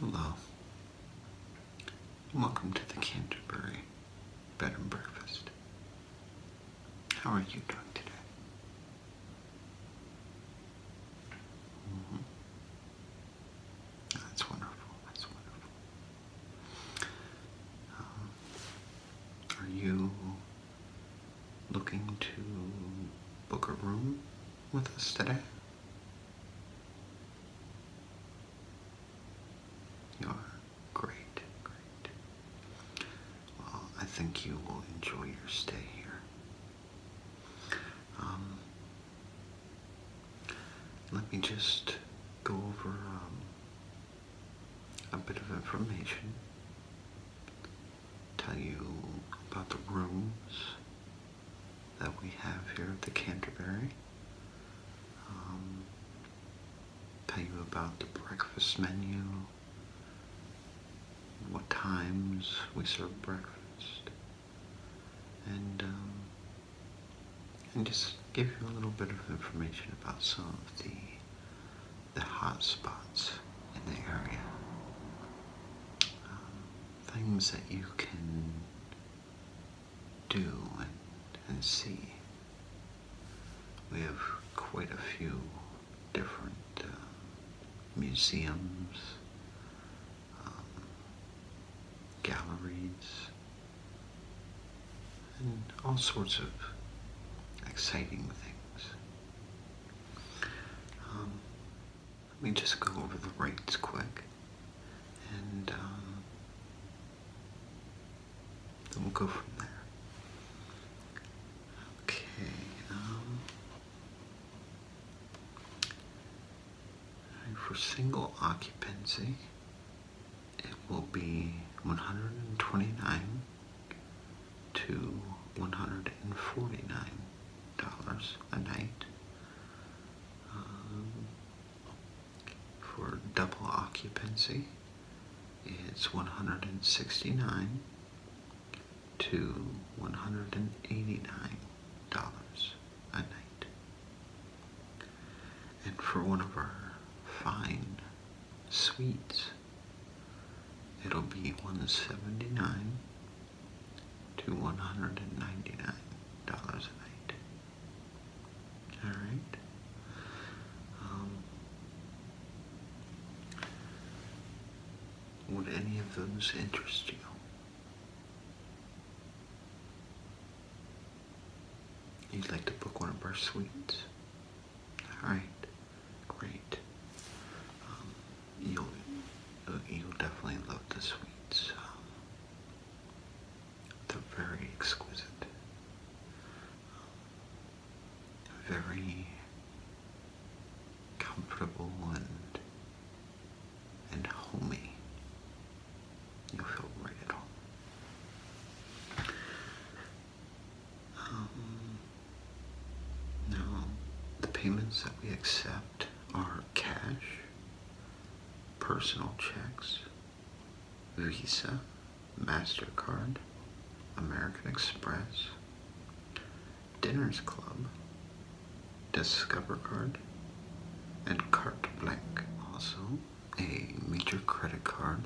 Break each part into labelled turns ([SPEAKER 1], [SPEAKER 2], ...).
[SPEAKER 1] Hello. Welcome to the Canterbury bed and breakfast. How are you doing today? Mm-hmm. That's wonderful. That's wonderful. Um, are you looking to book a room with us today? You're great, great. Well, I think you will enjoy your stay here. Um, let me just go over um, a bit of information, tell you about the rooms that we have here at the Canterbury. Um, tell you about the breakfast menu, what times we serve breakfast, and um, and just give you a little bit of information about some of the the hot spots in the area, uh, things that you can do and, see. We have quite a few different uh, museums, um, galleries, and all sorts of exciting things. Um, let me just go over the rates quick, um, then we'll go from there. Okay, um, for single occupancy, it will be 129 to 149 dollars a night. Um, for double occupancy it's 169 to 189 dollars a night. And for one of our fine suites, it'll be 179 to 199 dollars a night. All right. Um, would any of those interest you? You'd like to book one of our suites? Alright, great. Um, you'll, uh, you'll definitely love the suites. Um, they're very exquisite very comfortable and and homey. You'll feel right at home. Um, now, the payments that we accept are cash, personal checks, Visa, MasterCard, American Express, Dinners Club, Discover Card, and Carte Blanche. Also, a major credit card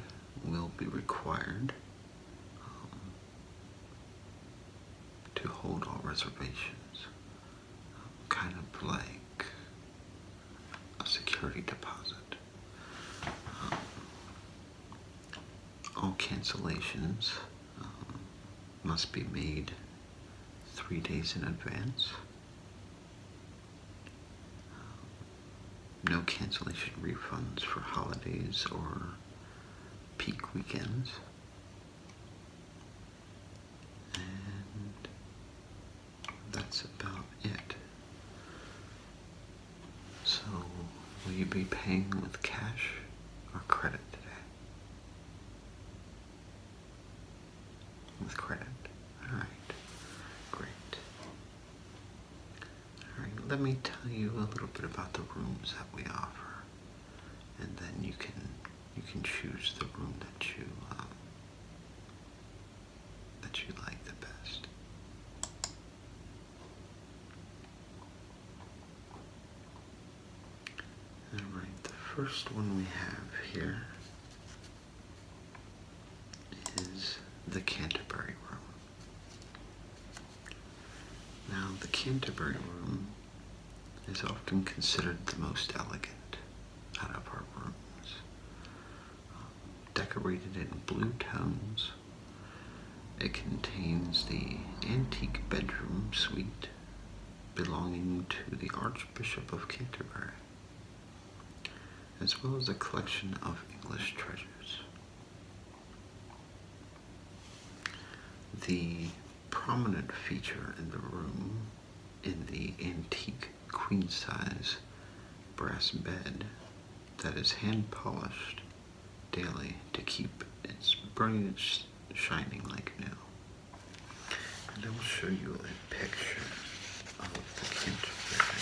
[SPEAKER 1] will be required um, to hold all reservations, kind of like a security deposit. All cancellations um, must be made three days in advance. No cancellation refunds for holidays or peak weekends that's about it. So, will you be paying with cash or credit today? With credit. Alright. Great. Alright, let me tell you a little bit about the rooms that we offer. And then you can you can choose the room that you um, that you like the best. Alright, the first one we have here is the Canterbury Room. Now, the Canterbury Room is often considered the most elegant out of our rooms decorated in blue tones. It contains the antique bedroom suite belonging to the Archbishop of Canterbury, as well as a collection of English treasures. The prominent feature in the room in the antique queen size brass bed that is hand polished daily to keep its brilliance shining like new. And I will show you a picture of the Canterbury Hall.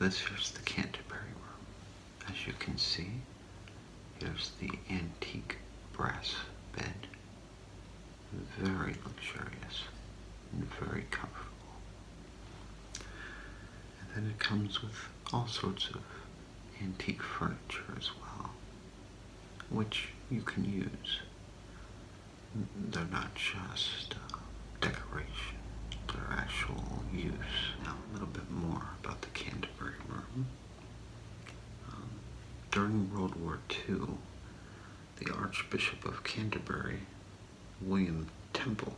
[SPEAKER 1] This is the Canterbury room. As you can see, here's the antique brass bed. Very luxurious and very comfortable. And then it comes with all sorts of antique furniture as well, which you can use. They're not just uh, decoration, they're actual use. Now a little bit more about the Canterbury room. Um, during World War II, the Archbishop of Canterbury, William Temple,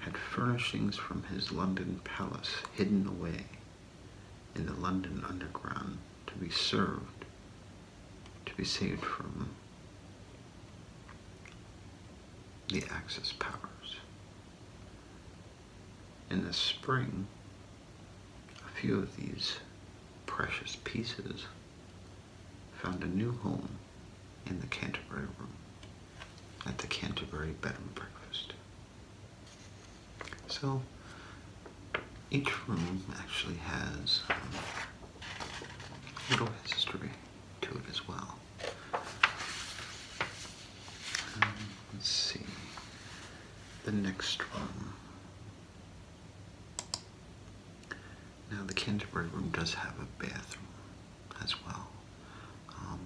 [SPEAKER 1] had furnishings from his London palace hidden away in the London Underground to be served, to be saved from the Axis powers in the spring, a few of these precious pieces found a new home in the Canterbury Room at the Canterbury Bed and Breakfast. So each room actually has um, a little history to it as well. Um, Let's see the next room. Now the Canterbury room does have a bathroom as well, um,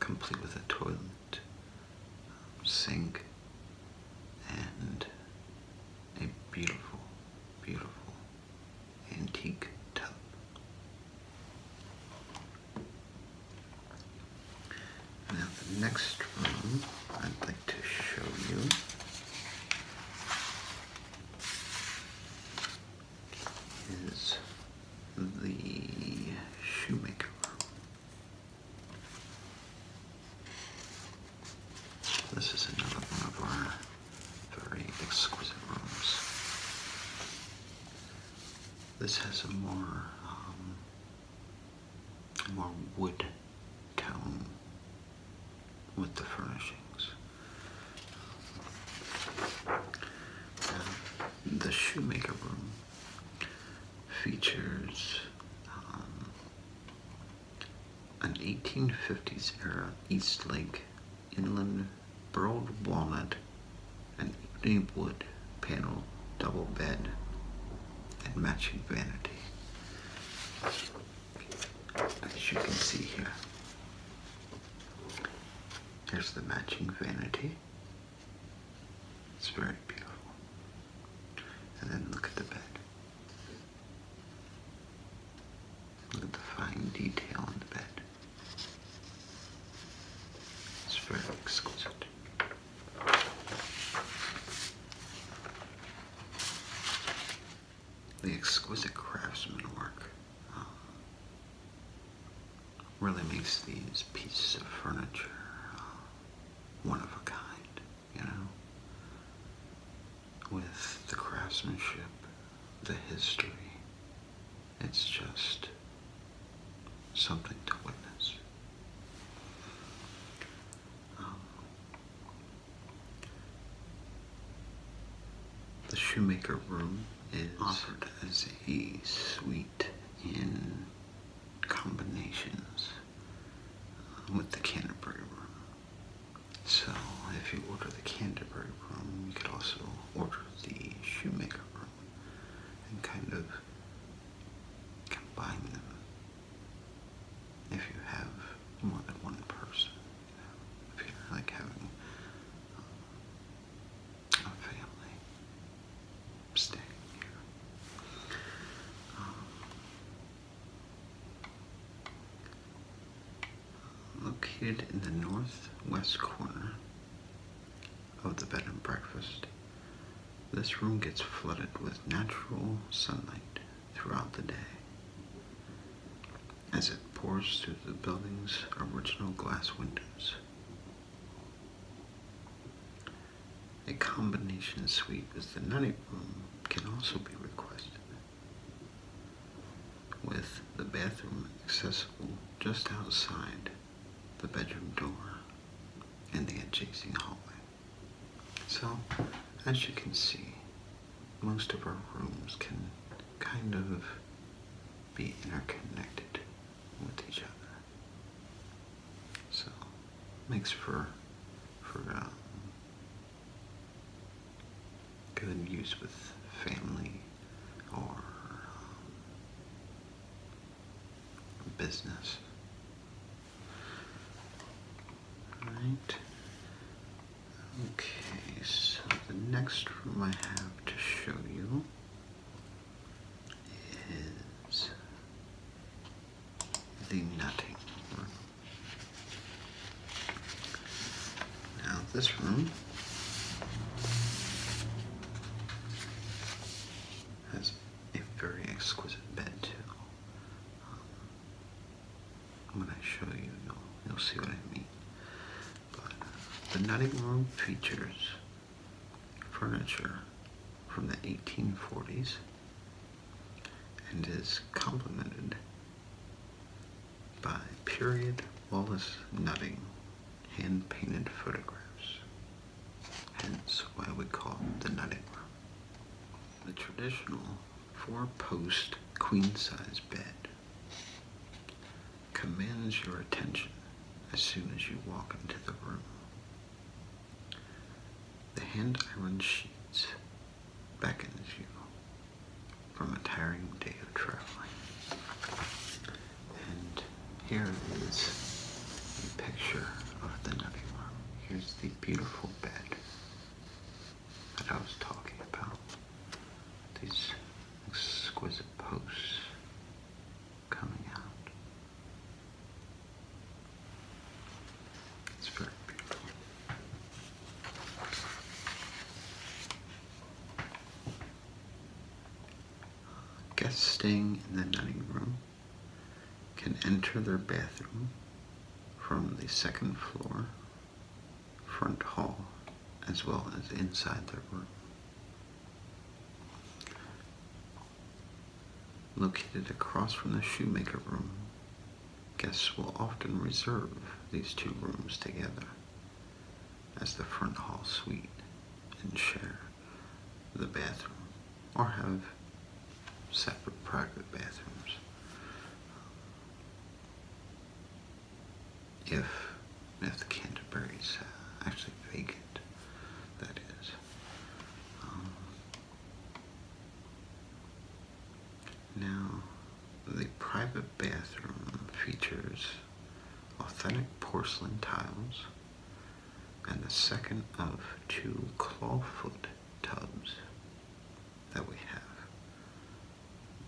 [SPEAKER 1] complete with a toilet, um, sink, and a beautiful, beautiful antique tub. Now the next room I'd like to show you is the shoemaker This is another one of our very exquisite rooms. This has a more, um, more wood tone with the furnishings. Um, the shoemaker room features um, an 1850s era East Lake inland burled walnut, and ebony wood panel double bed, and matching vanity. As you can see here, there's the matching vanity. It's very beautiful. And then look at the bed. Look at the fine detail in the bed. It's very exquisite. The exquisite craftsmanship uh, really makes these pieces of furniture uh, one of a kind, you know? With the craftsmanship, the history, it's just something to witness. Um, the Shoemaker Room is offered as a suite in combinations uh, with the Canterbury Room. So if you order the Canterbury Room, you could also order the Shoemaker Room and kind of combine them if you have more than one person. You know, like having um, a family staying here. Um, located in the northwest corner of the bed and breakfast. This room gets flooded with natural sunlight throughout the day as it pours through the building's original glass windows. A combination suite with the night room can also be requested, with the bathroom accessible just outside the bedroom door, and the adjacent hallway. So, as you can see, most of our rooms can kind of be interconnected with each other. So, makes for for um, good use with family or um, business. Right. Okay, so the next room I have to show you is the nutting room. Now this room has a very exquisite bed too. Um, when I show you, you'll, see what I mean. Uh, the nutting room features furniture from the 1840s and is complemented by period Wallace nutting hand painted photographs, hence why we call the nutting room. The traditional four post queen size bed commands your attention as soon as you walk into the room. The hand iron sheets beckons you from a tiring day of traveling. And here is a picture of the nutty Here's the beautiful bed that I was talking about. These exquisite posts coming out. It's very beautiful. Guests staying in the dining room can enter their bathroom from the second floor, front hall, as well as inside their room. Located across from the shoemaker room, guests will often reserve these two rooms together as the front hall suite and share the bathroom or have separate private bathrooms. If, if the is uh, actually vacant, that is. Um, now, the private bathroom features authentic porcelain tiles and the second of two clawfoot tubs that we have.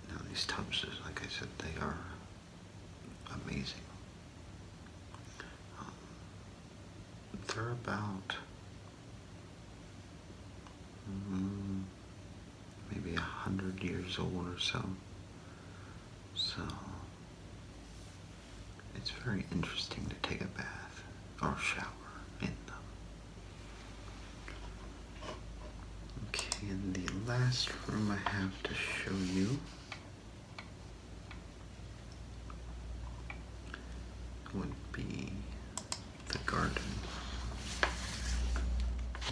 [SPEAKER 1] Now these tubs, like I said, they are amazing. Um, they're about mm, maybe a hundred years old or so. So it's very interesting to take a bath or shower in them. Okay, the last room I have to show you would be the garden.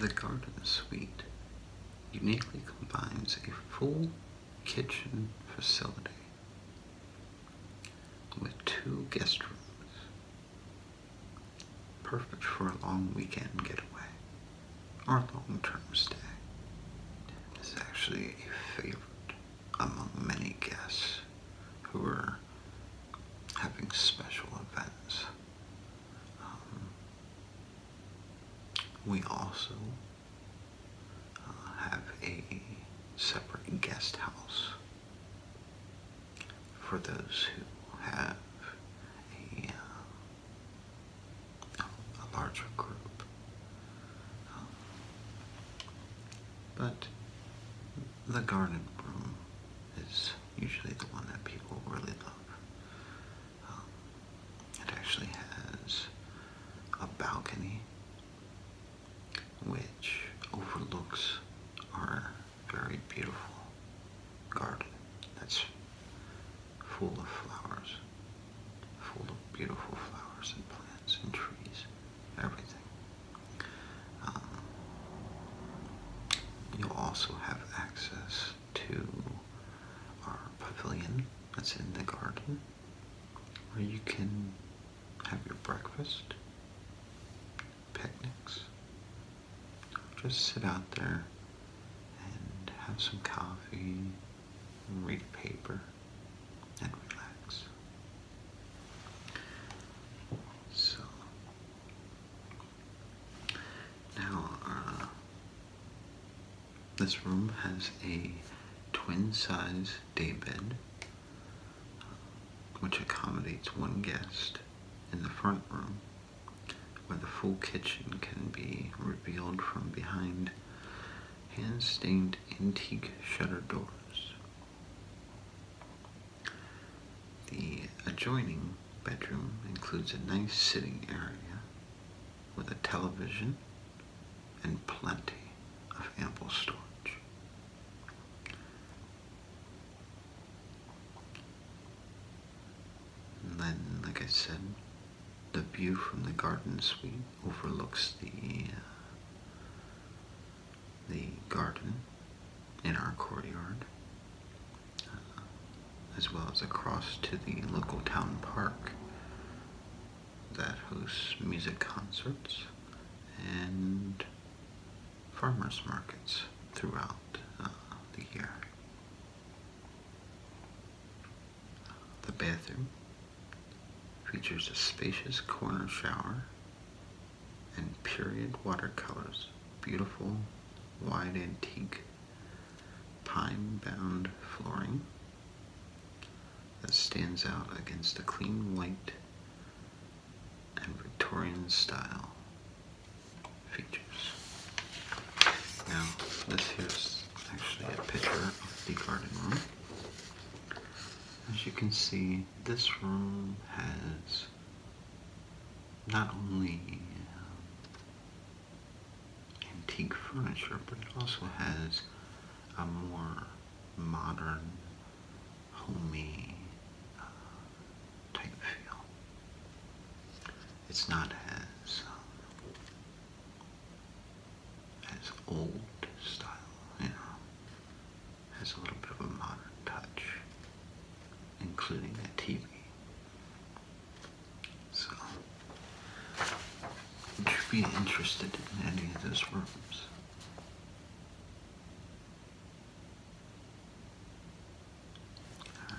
[SPEAKER 1] The garden suite uniquely combines a full kitchen facility with two guest rooms. Perfect for a long weekend getaway or long term stay. It's actually a favorite among many guests who are having special events. Um, we also have a separate guest house for those who have a, uh, larger group. Um, but the garden room is usually the one that people really love it actually has a balcony which overlooks our very beautiful garden that's full of flowers, full of beautiful flowers and plants and trees, everything. Um, you'll also have access to our pavilion that's in the garden where you can have your breakfast, picnics, just sit out there and have some coffee, read a paper, and relax. So, now, uh, this room has a twin-size daybed, which accommodates one guest in the front room, where the full kitchen can be revealed from behind hand-stained antique shutter doors. The adjoining bedroom includes a nice sitting area with a television and plenty of ample storage. then, like I said, the view from the garden suite overlooks the uh, the garden in our courtyard, uh, as well as across to the local town park, that hosts music concerts and farmers markets throughout uh, the year. The bathroom features a spacious corner shower and period watercolors, beautiful wide antique pine bound flooring, that stands out against the clean white and Victorian style features. Now, this here's actually a picture of the garden room. As you can see, this room has not only um, antique furniture, but it also has a more modern, homey uh, type feel. It's not as um, as old style, you know. Has a little bit of a modern touch, including the TV. So. Would you be interested in any of those rooms? right.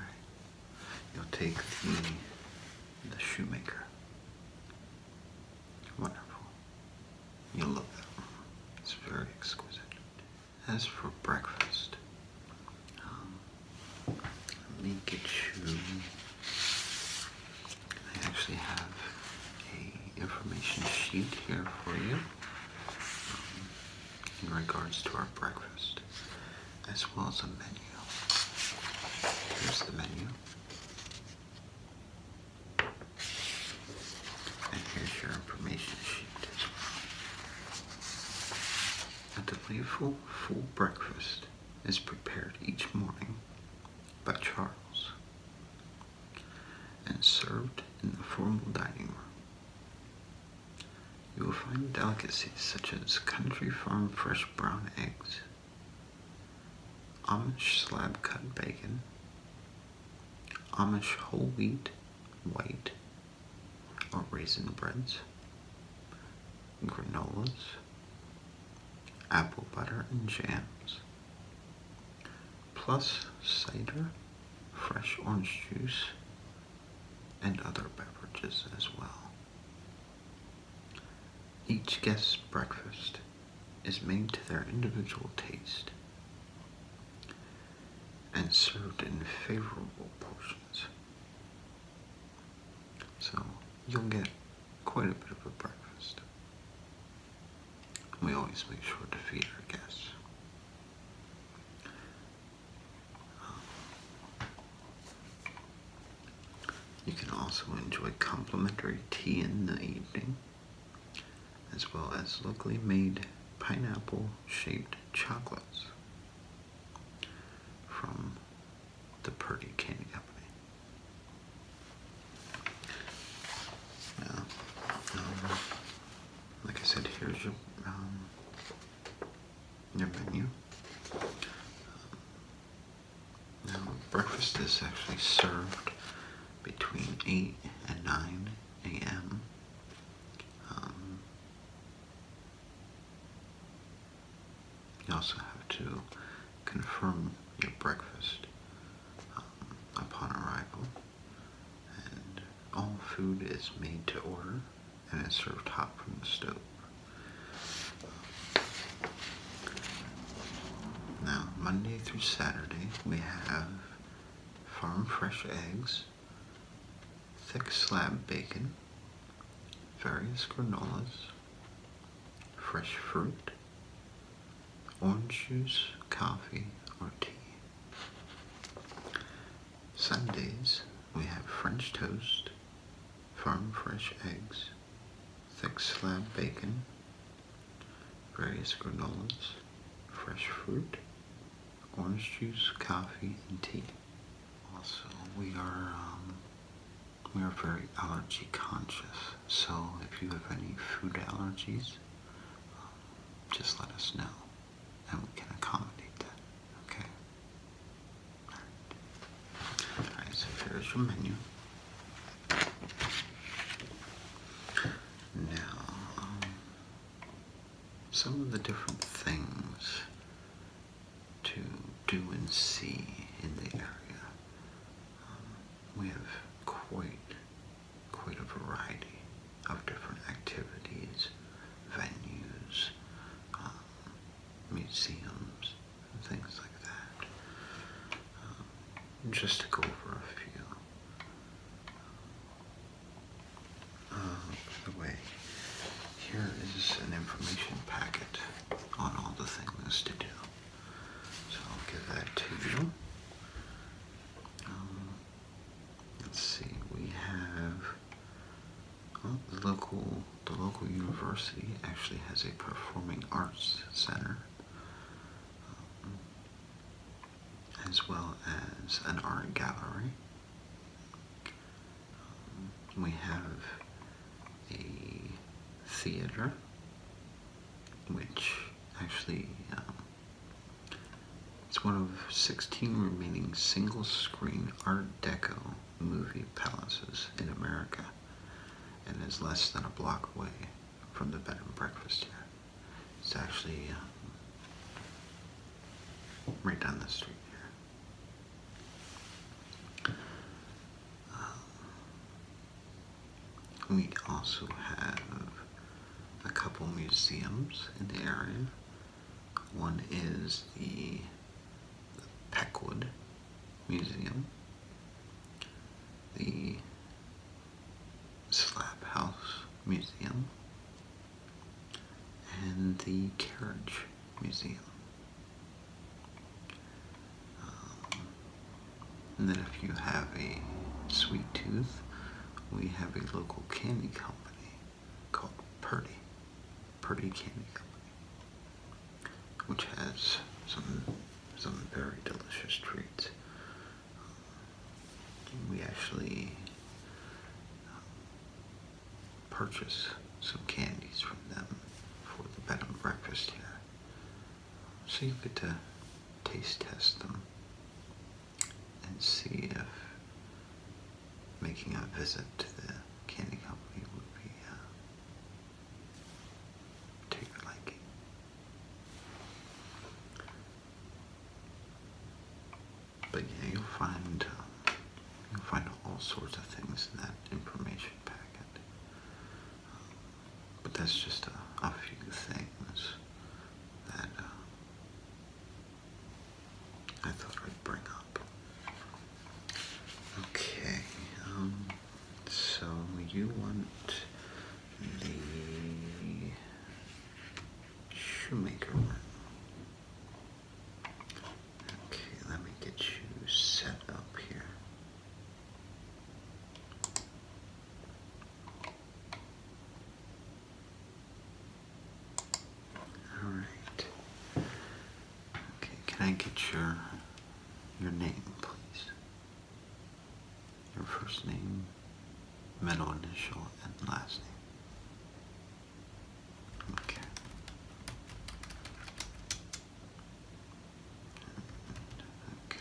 [SPEAKER 1] You'll take the the shoemaker. Wonderful. You love that It's very exquisite. As for breakfast, um, let me I actually have a information sheet here for you um, in regards to our breakfast, as well as a menu. Here's the menu. And here's your information sheet. A delightful full breakfast is prepared each morning by Charles and served in the formal dining room. You will find delicacies such as country farm fresh brown eggs, Amish slab cut bacon, Amish whole wheat, white, or raisin breads, granolas, apple butter and jams, plus cider, fresh orange juice, and other beverages as well. Each guest's breakfast is made to their individual taste and served in favorable portions. So you'll get quite a bit of a breakfast. We always make sure to feed our guests. You can also enjoy complimentary tea in the evening, as well as locally made pineapple shaped chocolates from the Purdy Candy Company. Yeah. Um, like I said, here's your um, your menu. Um, now breakfast is actually served between eight and nine a.m. you also have to confirm your breakfast upon arrival. all food is made to order and is served hot from the stove. Now, Monday through Saturday, we have farm fresh eggs, thick slab bacon, various granolas, fresh fruit, orange juice, coffee, or tea. Sundays, we have French toast, farm fresh eggs, thick slab bacon, various granolas, fresh fruit, orange juice, coffee, and tea. Also, we are um, we are very allergy conscious. So if you have any food allergies, um, just let us know and we can accommodate that. Okay? Alright, so here's your menu. Now, um, some of the different things to do and see in the area. Um, we have quite quite a variety of different activities, venues, um, museums, and things like that. Um, just to go over a few. Uh, by the way, here is an information packet on all the things to do. So I'll give that to you. Um, let's see, we have oh, the local the local university actually has a performing arts center um, as well as an art gallery. Um, we have a theater which actually um, it's one of 16 remaining single-screen Art Deco movie palaces in America and is less than a block away from the bed and breakfast here. It's actually um, right down the street here. Um, we also have a couple museums in the area. One is the Peckwood Museum, the Slap House Museum, and the Carriage Museum. Um, and then if you have a sweet tooth, we have a local candy company called Purdy, Purdy Candy Company, which has some some very delicious treats. Um, we actually um, purchase some candies from them for the bed and breakfast here so you get to uh, taste test them and see if making a visit to the candy company would be uh, take a liking. But yeah, you'll find um, you'll find all sorts of things in that information packet. Um, but that's just a, few things that uh, I thought I'd bring up. Okay, um, so you want the shoemaker Okay, let me get you set up here. All right. Okay, can I get your your name, please? Your first name, middle initial, and last name. Okay. Okay.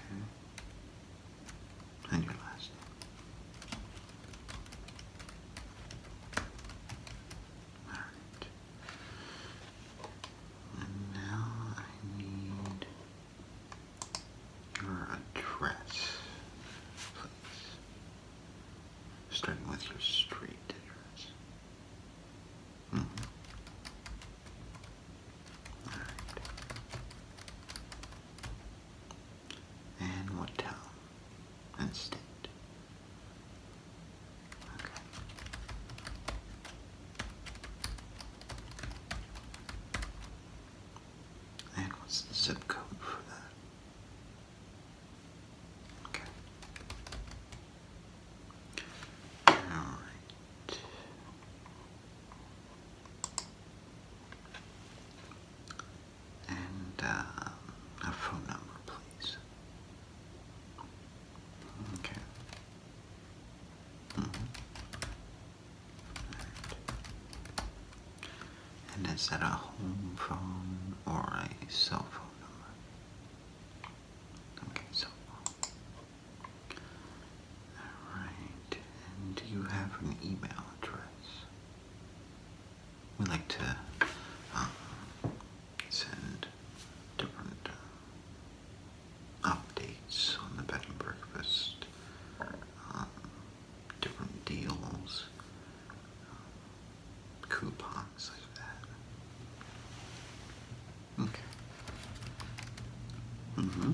[SPEAKER 1] And your last Alright. And now I need your address, please. Starting with your street and what town and state? And what's the zip code for that? Okay. Alright and uh, a phone number, please. Okay. Mm-hmm. And is that a home phone or a cell phone number? Okay, cell phone. Alright, do you have an email address? We like to um, send different uh, updates on the bed and breakfast, um, different deals, um, coupons like that. Okay. Mm hmm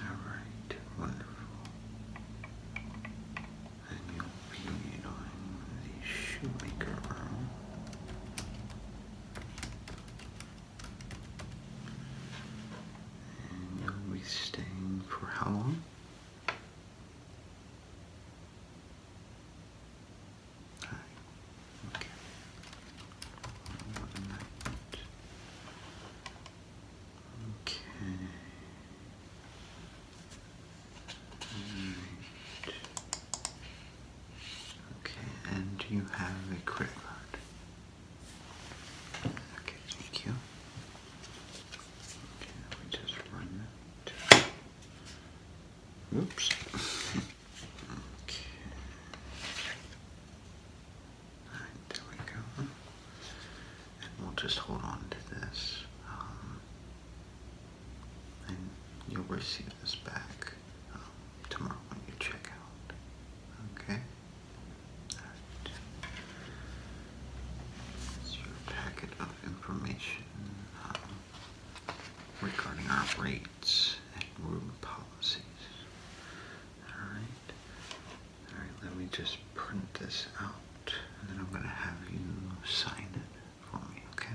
[SPEAKER 1] All right, wonderful. And you'll be on the shoemaker room. And you'll be staying for how long? Hi. Okay. Okay. Okay, and you have a credit card. Okay, thank you. Okay, just run that. Oops. Okay. Alright, there we go. And we'll just hold on to this. and you'll receive this back tomorrow when you check out. Okay? It's your packet of information um, regarding our rates and room policies. Alright. Alright, let me just print this out and then I'm going to have you sign it for me, okay?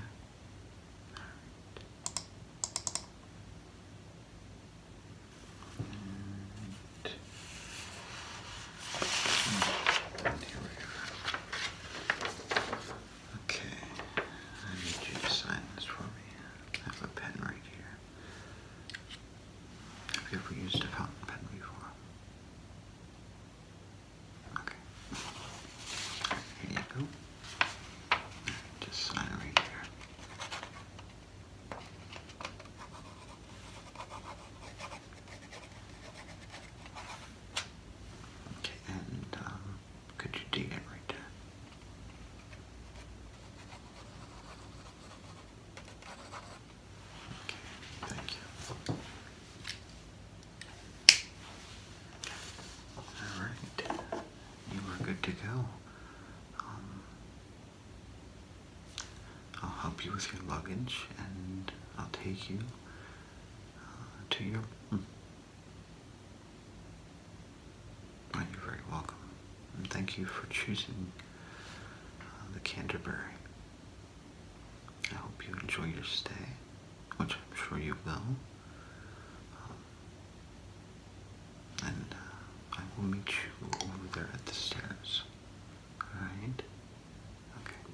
[SPEAKER 1] Okay, I need you to sign this for me. I have a pen right here. Have you ever used a fountain pen before? Okay. Here you go. Just sign right here and um, could you dig it right there? Okay, thank you. Alright, you are good to go. Um, I'll help you with your luggage and I'll take you to you. Hmm. you're very welcome. And thank you for choosing uh, the Canterbury. I hope you enjoy your stay, which I'm sure you will. Um, and uh, I will meet you over there at the stairs. Alright? Okay.